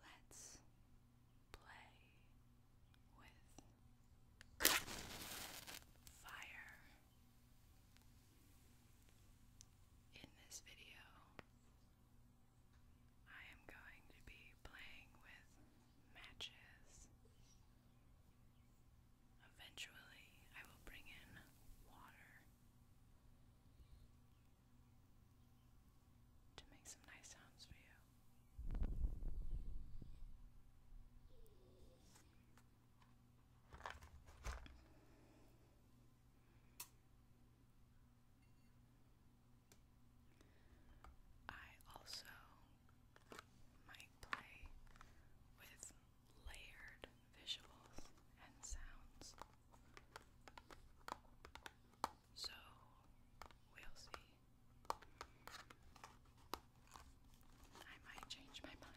Let's play with fire. In this video, I am going to be playing with matches. Eventually, I will bring in water to make some nice sounds for you. I also might play with layered visuals and sounds. So we'll see. I might change my mind.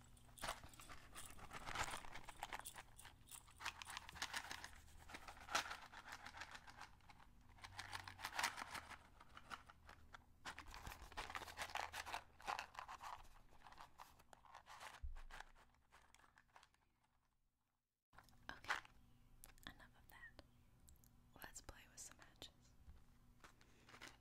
Okay, enough of that. Let's play with some matches.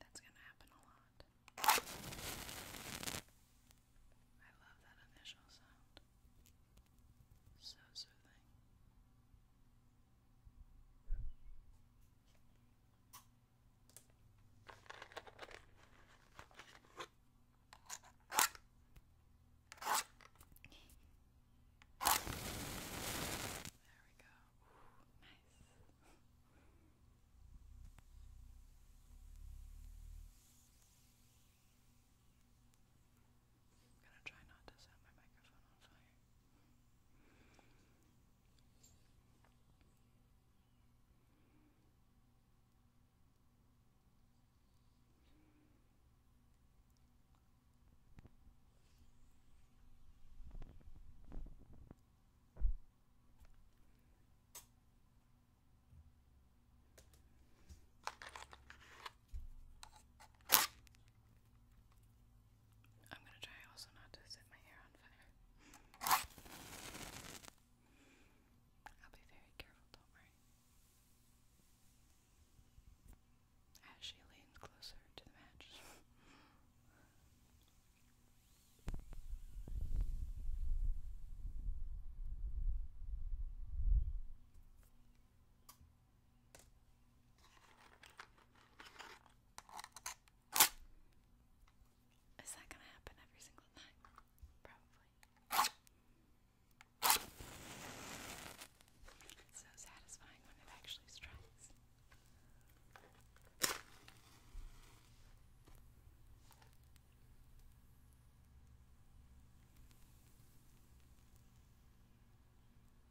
That's going to happen a lot. I love that initial sound. So soothing. There we go. Ooh, nice. I'm gonna try not to set my microphone on fire. I'm gonna try also not to set my hair on fire. I'll be very careful, don't worry. As she leans closer to the match. Is that gonna happen every single night? Probably. so satisfying when it actually strikes.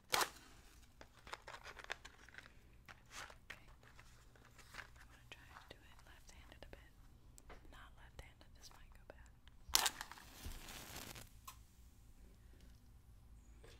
I'm gonna try and do it left-handed a bit. Not left-handed, this might go bad. That's a little blame. Okay.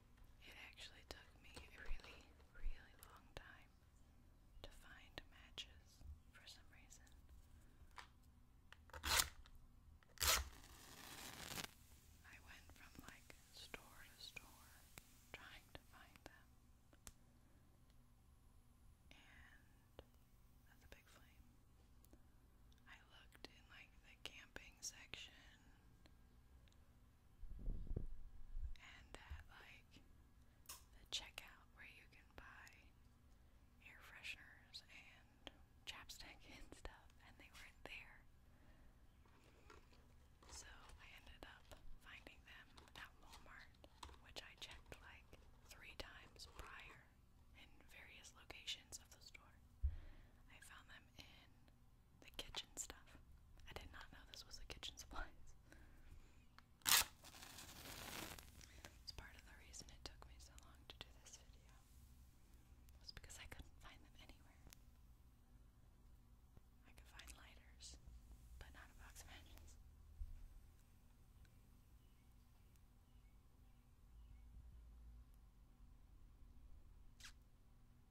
it actually took me a really, really long time to find matches for some reason. I went from like store to store trying to find them. And that's a big flame. I looked in like the camping section and that like the checkout where you can buy air fresheners and chapstick and stuff, and they weren't there. So I ended up finding them at Walmart, which I checked like three times prior in various locations of the store. I found them in the kitchen stuff. I did not know this was the kitchen supplies. It's part of the reason it took me so long to do this video. Was because I couldn't find them anywhere. I could find lighters, but not a box of matches.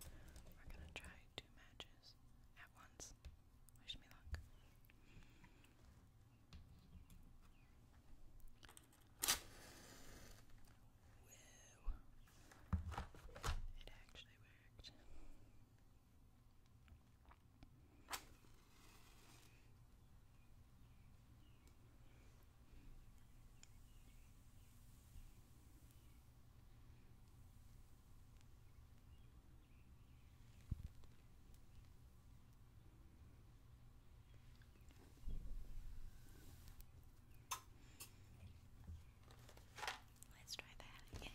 We're gonna try two matches at once. Wish me luck. It actually worked. Let's try that again.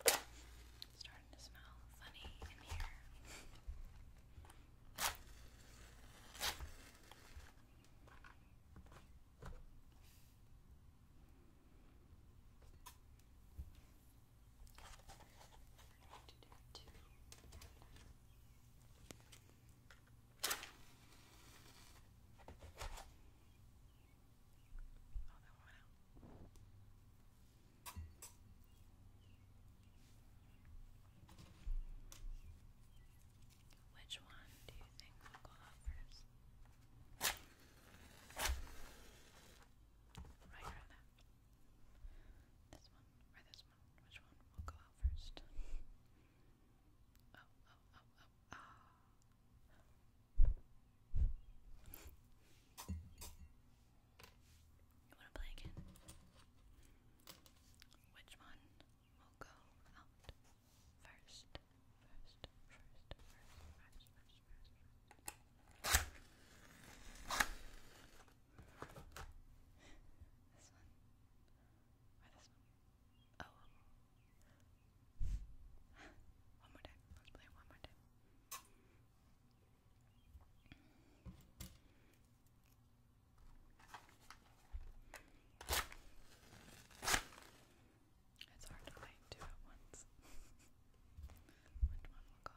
It's starting to smell funny in here. We're going to do two. Oh, that which one do you think will go up first? Right or that? This one or this one? Which one will go out first? Oh, oh, oh, oh, oh. I want to play again. Which one will go out first? First, first, first, first, first, first. This one? Or this one? Oh. more time. Let's play one more time. It's hard to light two at once. Which one will go first? Oh.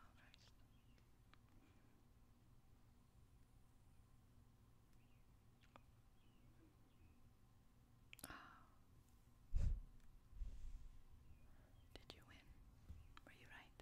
Did you win? Were you right?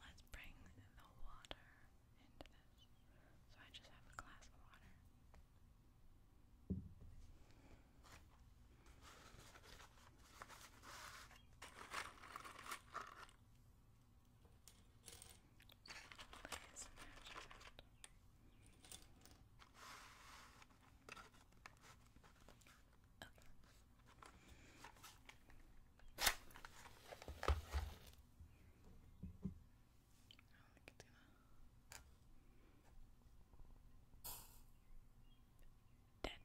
Let's bring the water into this. So I just have a glass of water. Please imagine it. Okay. Oh, look at that. Dead.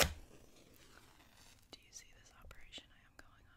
Do you see this operation I am going on?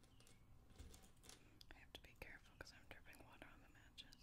I have to be careful because I'm dripping water on the matches.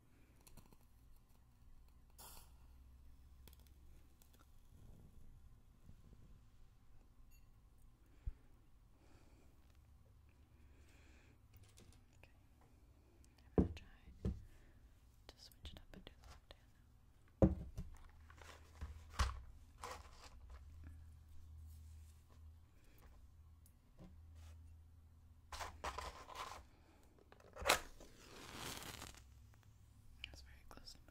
Okay, I'm gonna try to switch it up and do the left that's very close to my face.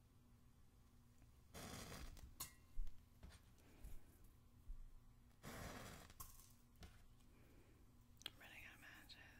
I'm running out of matches.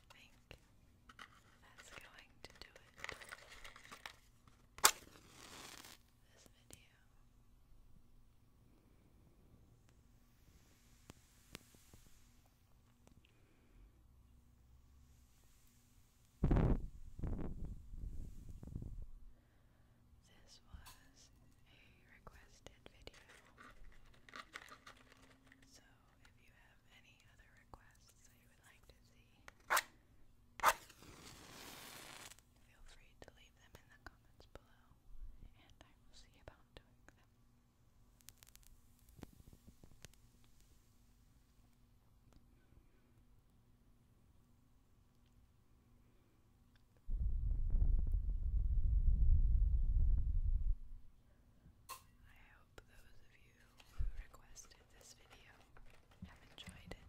think that's going to do it this video. This was a requested video. So if you have any other requests you would like to see, feel free to leave them in the comments below, and I will see about doing them. I hope those of you who requested this video have enjoyed it.